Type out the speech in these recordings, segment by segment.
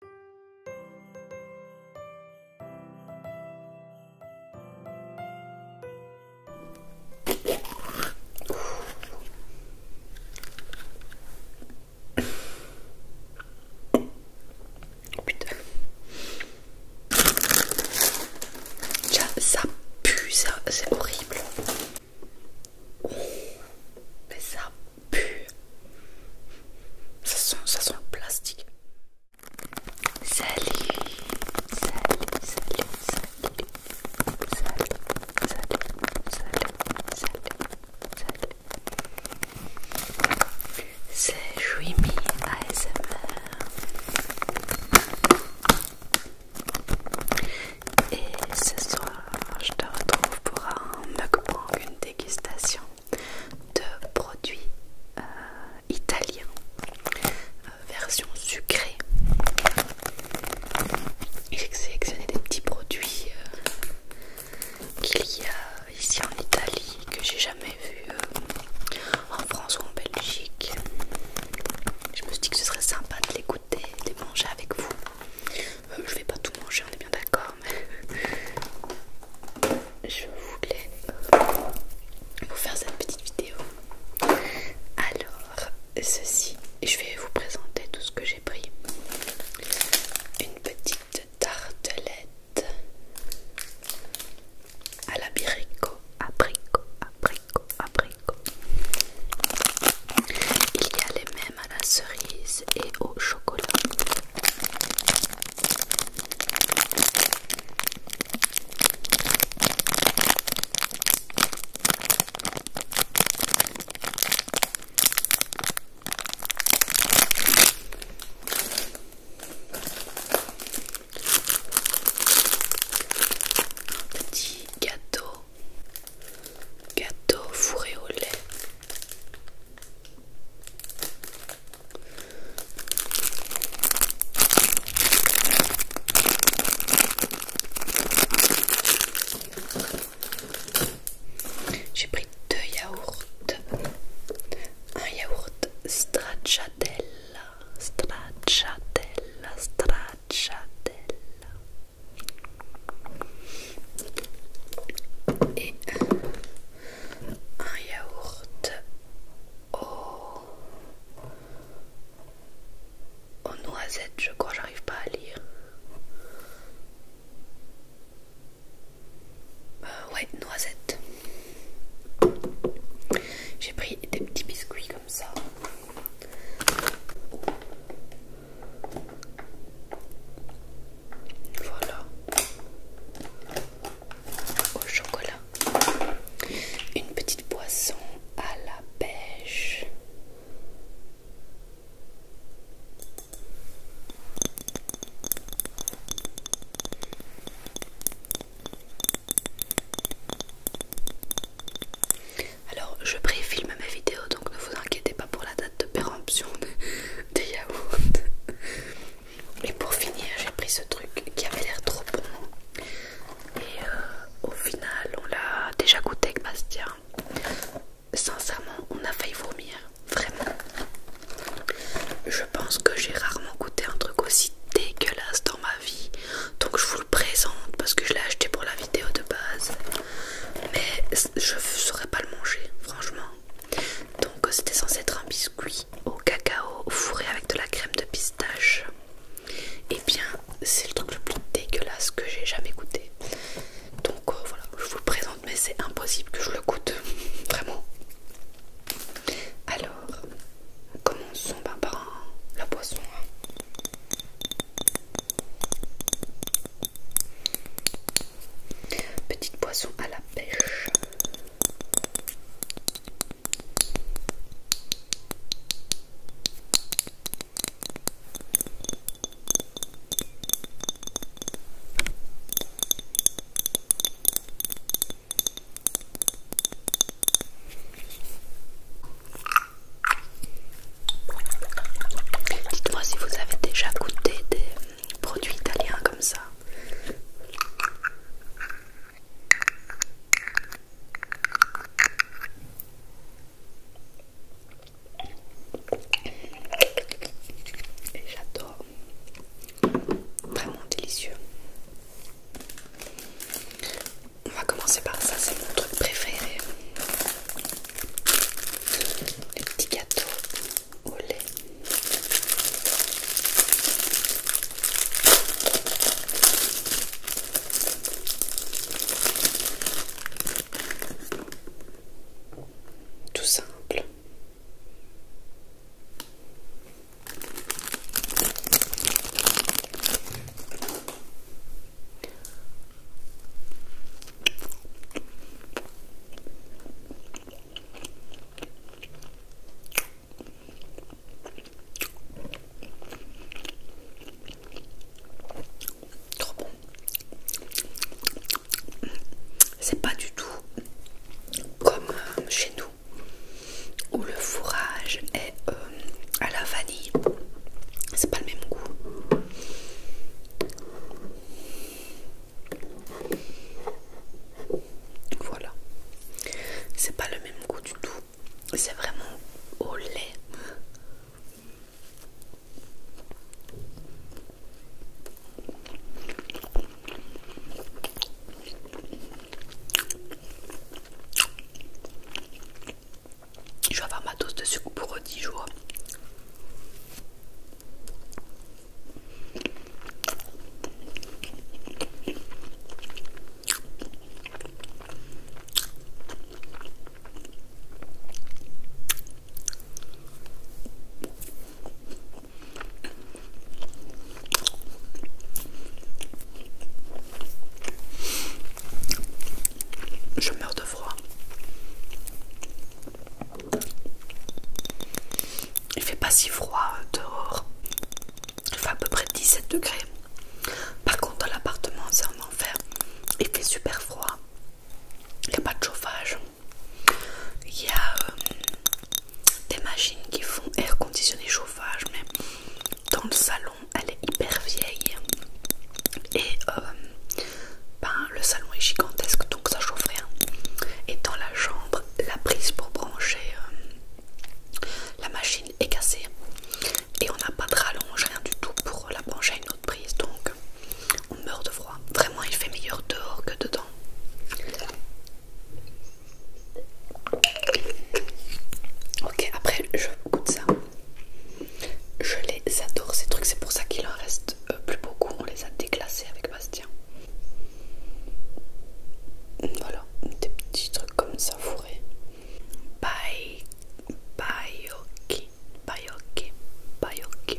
Oh putain. Ça, ça pue, ça, c'est horrible. Oh, mais ça ça sent, plastique. Salut, salut, salut, salut, salut, salut, salut, salut, salut. C'est Jouimi ASMR. Et ce soir, je te retrouve pour un une dégustation de produits euh, italiens, euh, version sucrée. J'ai sélectionné des petits produits euh, qu'il y a ici en Italie que j'ai jamais vu en France ou en Belgique. Je me suis dit que ce serait sympa de les goûter, de les manger avec vous. Euh, je vais pas tout manger, on est bien d'accord, mais je voulais euh, vous faire cette petite vidéo. Alors, ceci, je vais vous présenter tout ce que j'ai pris. Une petite tartelette à l'abricot, abricot, abricot, abricot. Il y a les à la cerise et au chocolat. petit gâteau, gâteau fourré au lait j'ai pris deux yaourts. Un yaourt stracciatella, stracciatella, stracciatella. Et un yaourt aux, noisettes, je crois, j'arrive pas à lire. Euh, ouais, noisettes. J'ai pris des petits biscuits comme ça. Voilà. Au chocolat. Une petite boisson à la pêche. Alors je préfilme mes vidéos donc ne vous inquiétez pas pour la date de péremption des yaourts. Et pour finir, j'ai pris ce truc qui avait l'air trop bon. Et euh, au final, on l'a déjà goûté avec Bastien. Sincèrement, on a failli vomir. Vraiment. Je pense que j'ai rarement goûté un truc aussi dégueulasse dans ma vie. Donc je vous le présente parce que je l'ai acheté pour la vidéo de base. Mais je ne saurais pas le manger, franchement. Donc euh, c'était censé être un biscuit au cacao fourré avec de la crème de pistache. Et eh bien c'est le truc le plus dégueulasse que j'ai jamais goûté. Donc euh, voilà, je vous le présente mais c'est impossible que je le goûte. Vraiment. Alors, commençons ben par la poisson. Hein. Petite poisson à la Dites-moi si vous avez déjà goûté des Produit italien comme ça. j'adore. Vraiment délicieux. On va commencer par ça, c'est mon truc préféré. Les petits gâteaux tout simple. Trop bon. C'est pas du tout comme euh, chez nous où le fourrage est euh, à la vanille. C'est pas le même goût. Voilà. C'est pas le même goût du tout. C'est vraiment au lait. Je vais avoir ma dose de sucre pour 10 jours. Je meurs de froid. Il fait pas si froid euh, dehors. Il fait à peu près 17 degrés. Par contre, dans l'appartement, c'est un enfer. Il fait super froid. Il n'y a pas de chauffage. Il y a euh, des machines qui font air conditionné chauffage, mais dans le salon, elle est hyper vieille. Et euh, ben, le salon est gigantesque donc ça chauffe rien. Hein. Et dans la chambre, la prise pour brancher euh, la machine est cassée et on n'a pas de rallonge, rien du tout pour la brancher à une autre prise donc on meurt de froid. Vraiment, il fait meilleur dehors que dedans. Ok, après je goûte ça. Je les adore ces trucs, c'est pour ça qu'il en reste euh, plus beaucoup. On les a déclassés avec Bastien. Voilà, des petits trucs comme ça fourrés. Bye, bye, ok, bye, ok, bye, ok.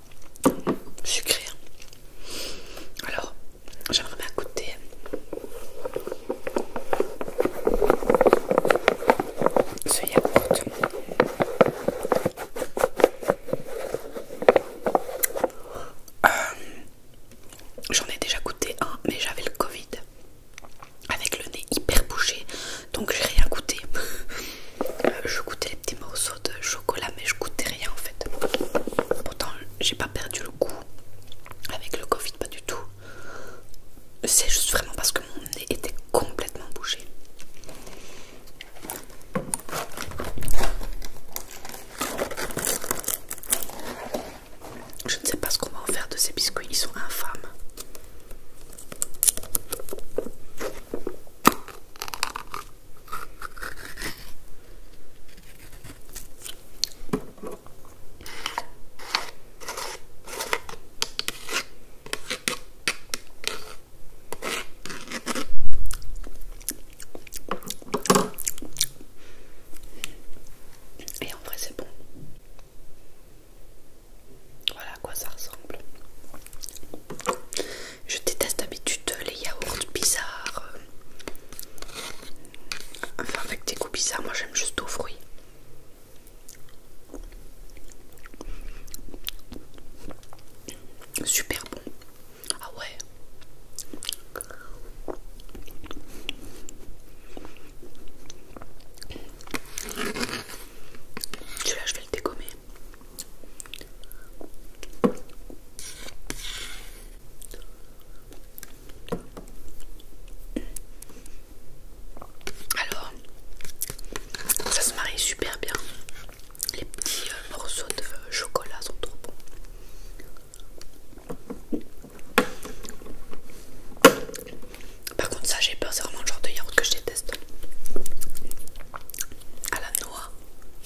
sucré. Hein. Alors, j'aimerais goûter. Ce yaourt. Euh, j'en ai déjà goûté un, mais j'avais le Covid avec le nez hyper bouché, donc j'ai rien goûté. Euh, je goûtais les petits morceaux de chocolat mais je goûtais rien en fait. Pourtant j'ai pas perdu le goût avec le Covid, pas du tout. C'est juste vraiment parce que mon nez était complètement bougé. Je ne sais pas ce qu'on va en faire de ces biscuits, ils sont infâmes. Et en vrai c'est bon. Voilà à quoi ça ressemble. Je déteste d'habitude les yaourts bizarres. Enfin, avec des goûts bizarres, moi j'aime juste aux fruits. Super bon. Ah ouais. Celui-là, je vais le dégommer. Alors, ça se marie super bien. Les petits euh, morceaux de euh, chocolat sont trop bons. Par contre, ça, j'ai peur, c'est vraiment le genre de yaourt que je déteste. À la noix,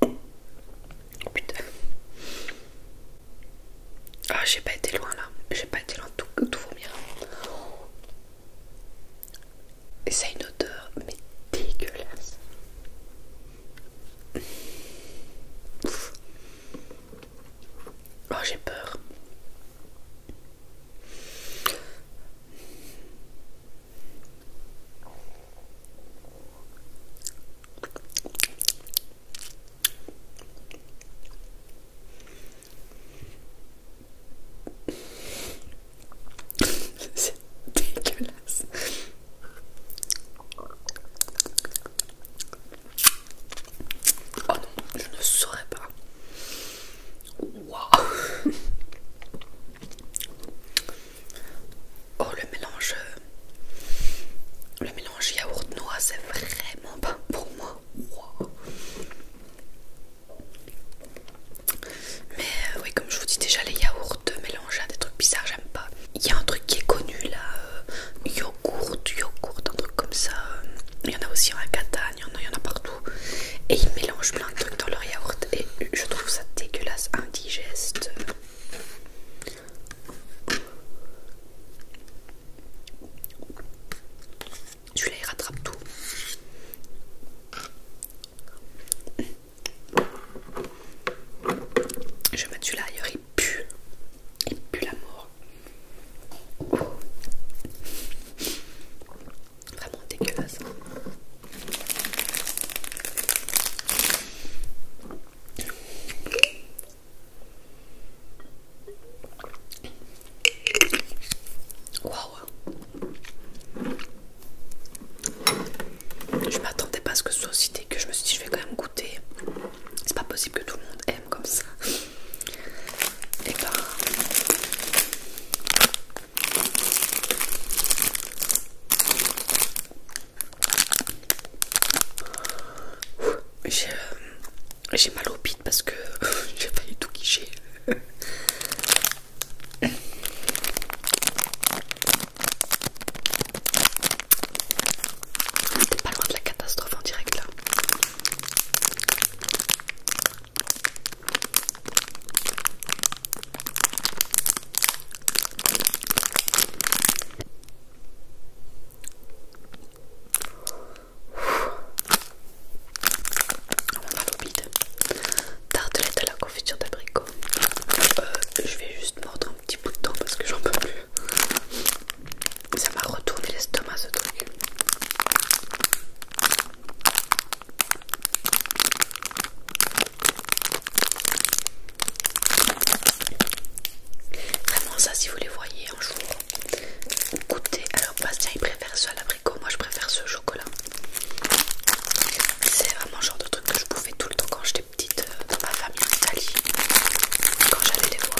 Oh, putain. Ah, j'ai pas été loin là. J'ai pas été loin tout tout, tout vomir. Et ça a une odeur, mais dégueulasse. Oh, j'ai peur. C'est dégueulasse. Oh non, je ne saurais pas. Wow. Oh le mélange euh, le mélange yaourt noix c'est vraiment pas pour moi Mais euh, oui comme je vous dis déjà les yaourts mélangés à hein, des trucs bizarres j'aime pas Il y a un truc qui est connu là euh, Yogourt, yogourt, un truc comme ça Il y en a aussi en il y en a partout et il mélange plein de trucs dans leur yaourt et je trouve ça dégueulasse, indigeste. Celui-là il rattrape tout. Je vais mettre celui-là ailleurs, il pue. Il pue la mort. Vraiment dégueulasse. Waouh! Je m'attendais pas à ce que ce soit aussi que Je me suis dit, je vais quand même goûter. C'est pas possible que tout le monde aime comme ça. Et eh ben. Euh, j'ai mal au pit parce que j'ai pas du tout quicher. pas loin de la catastrophe en direct là. On a Tartelette à la confiture d'abricot. Euh, je vais juste mordre un petit bout de temps parce que j'en peux plus. Ça m'a retourné l'estomac ce truc. Vraiment ça si vous les voyez un jour goûtez. Alors Bastien il préfère ça à l'abricot, moi je préfère ce chocolat. C'est vraiment le genre de truc que je bouffais tout le temps quand j'étais petite euh, dans ma famille en Italie. Quand j'allais les voir.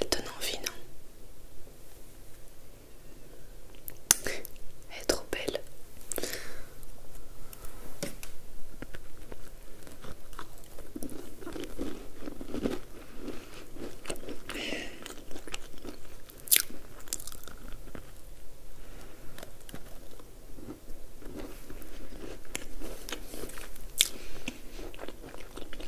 Elle donne envie, non Elle est trop belle.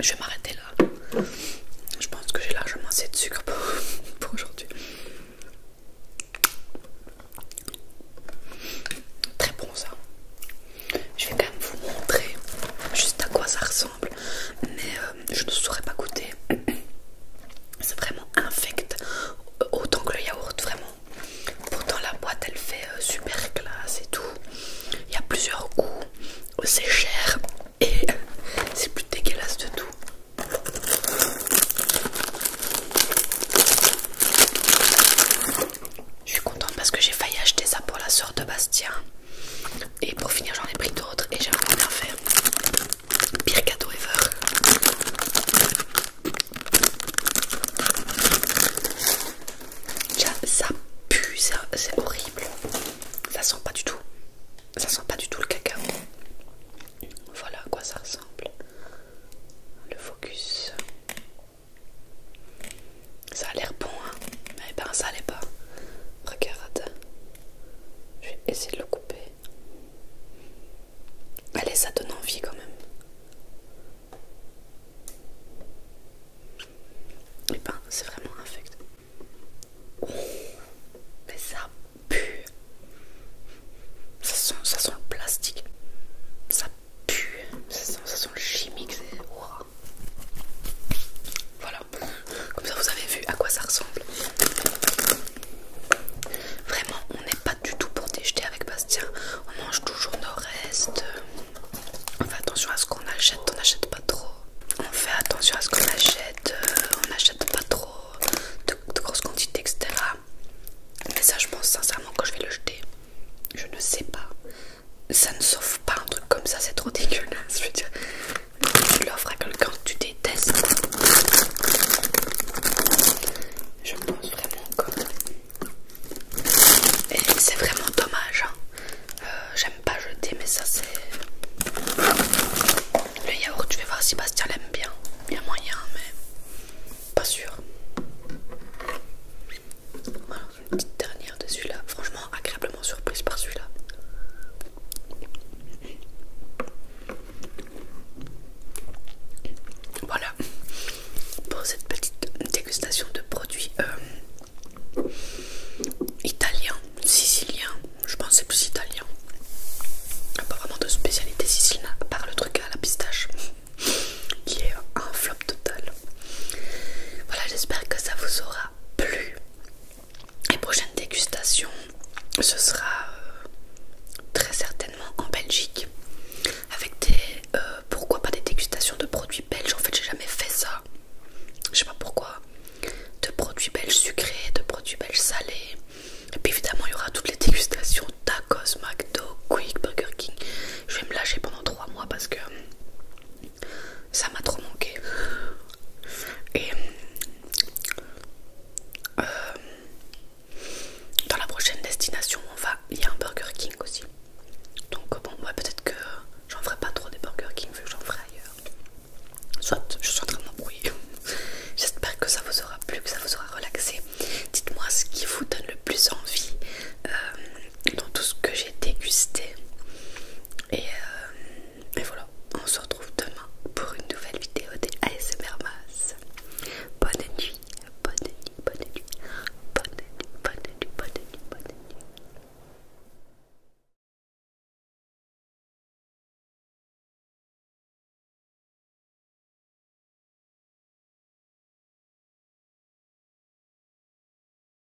Je vais m'arrêter là. Je pense que j'ai largement assez de sucre pour, aujourd'hui. Très bon ça. Je vais quand même vous montrer juste à quoi ça ressemble, mais euh, je ne saurais pas goûter. C'est vraiment infect, autant que le yaourt, vraiment. Pourtant, la boîte elle fait euh, super classe et tout. Il y a plusieurs goûts, c'est cher et c'est plus dégueulasse de tout. Je suis contente parce que j'ai failli acheter ça pour la soeur de Bastien. Et pour finir, j'en ai pris d'autres et j'ai vraiment bien fait. Pire cadeau ever. Ça pue, c'est horrible. Ça sent pas du tout. Ça sent pas du tout le cacao. Voilà à quoi ça ressemble. Le focus. Ça a l'air bon, hein, mais ben ça l'est pas. Regarde, je vais essayer de le couper. Allez, ça donne envie quand même. Et eh ben, c'est vraiment infect. mais ça pue. Ça sent, ça sent le plastique. Ça pue. Ça sent, le chimique. Voilà, comme ça vous avez vu à quoi ça ressemble. Vraiment, on n'est pas du tout pour déjeter avec Bastien. On mange toujours nos restes. On fait attention à ce qu'on achète, on n'achète pas trop. On fait attention à ce qu'on achète, euh, on n'achète pas trop de, grosses quantités, etc. Mais ça, je pense sincèrement, que je vais le jeter, je ne sais pas ça ne sauve pas un truc comme ça, c'est trop dégueulasse. Je veux dire, tu l'offres à quelqu'un que tu détestes. Je pense vraiment que. Et c'est vraiment dommage. Hein. Euh, j'aime pas jeter, mais ça c'est. Le yaourt, tu vas voir si Bastien l'aime bien. bien moyen, mais pas sûr. Voilà petite dernière de celui-là. Franchement, agréablement surprise par celui-là. Voilà pour cette petite dégustation de produits euh, italiens, siciliens. Je pense c'est plus italien. Pas vraiment de spécialité sicilienne, à part le truc à la pistache qui est un flop total. Voilà, j'espère que ça vous aura plus Les prochaines dégustations, ce sera euh, très certainement en Belgique. Avec des... Euh, pourquoi pas des dégustations de produits belges En fait, j'ai jamais fait ça. Je sais pas pourquoi. De produits belges sucrés, de produits belges salés. Et puis évidemment, il y aura toutes les dégustations tacos, McDo, Quick, Burger King. Je vais me lâcher pendant trois mois parce que ça m'a trop manqué et euh, dans la prochaine destination on va il y a un Burger King aussi donc bon peut-être que j'en ferai pas trop des Burger King vu que j'en ferai ailleurs soit je suis en train de m'embrouiller j'espère que ça vous aura plu que ça vous aura relaxé dites moi ce qui vous donne le plus envie euh, dans tout ce que j'ai dégusté. Euh, et, voilà, on se retrouve demain pour une nouvelle vidéo des ASMR Mas. Bonne nuit, bonne nuit, bonne nuit, bonne nuit, bonne nuit, bonne nuit, bonne nuit.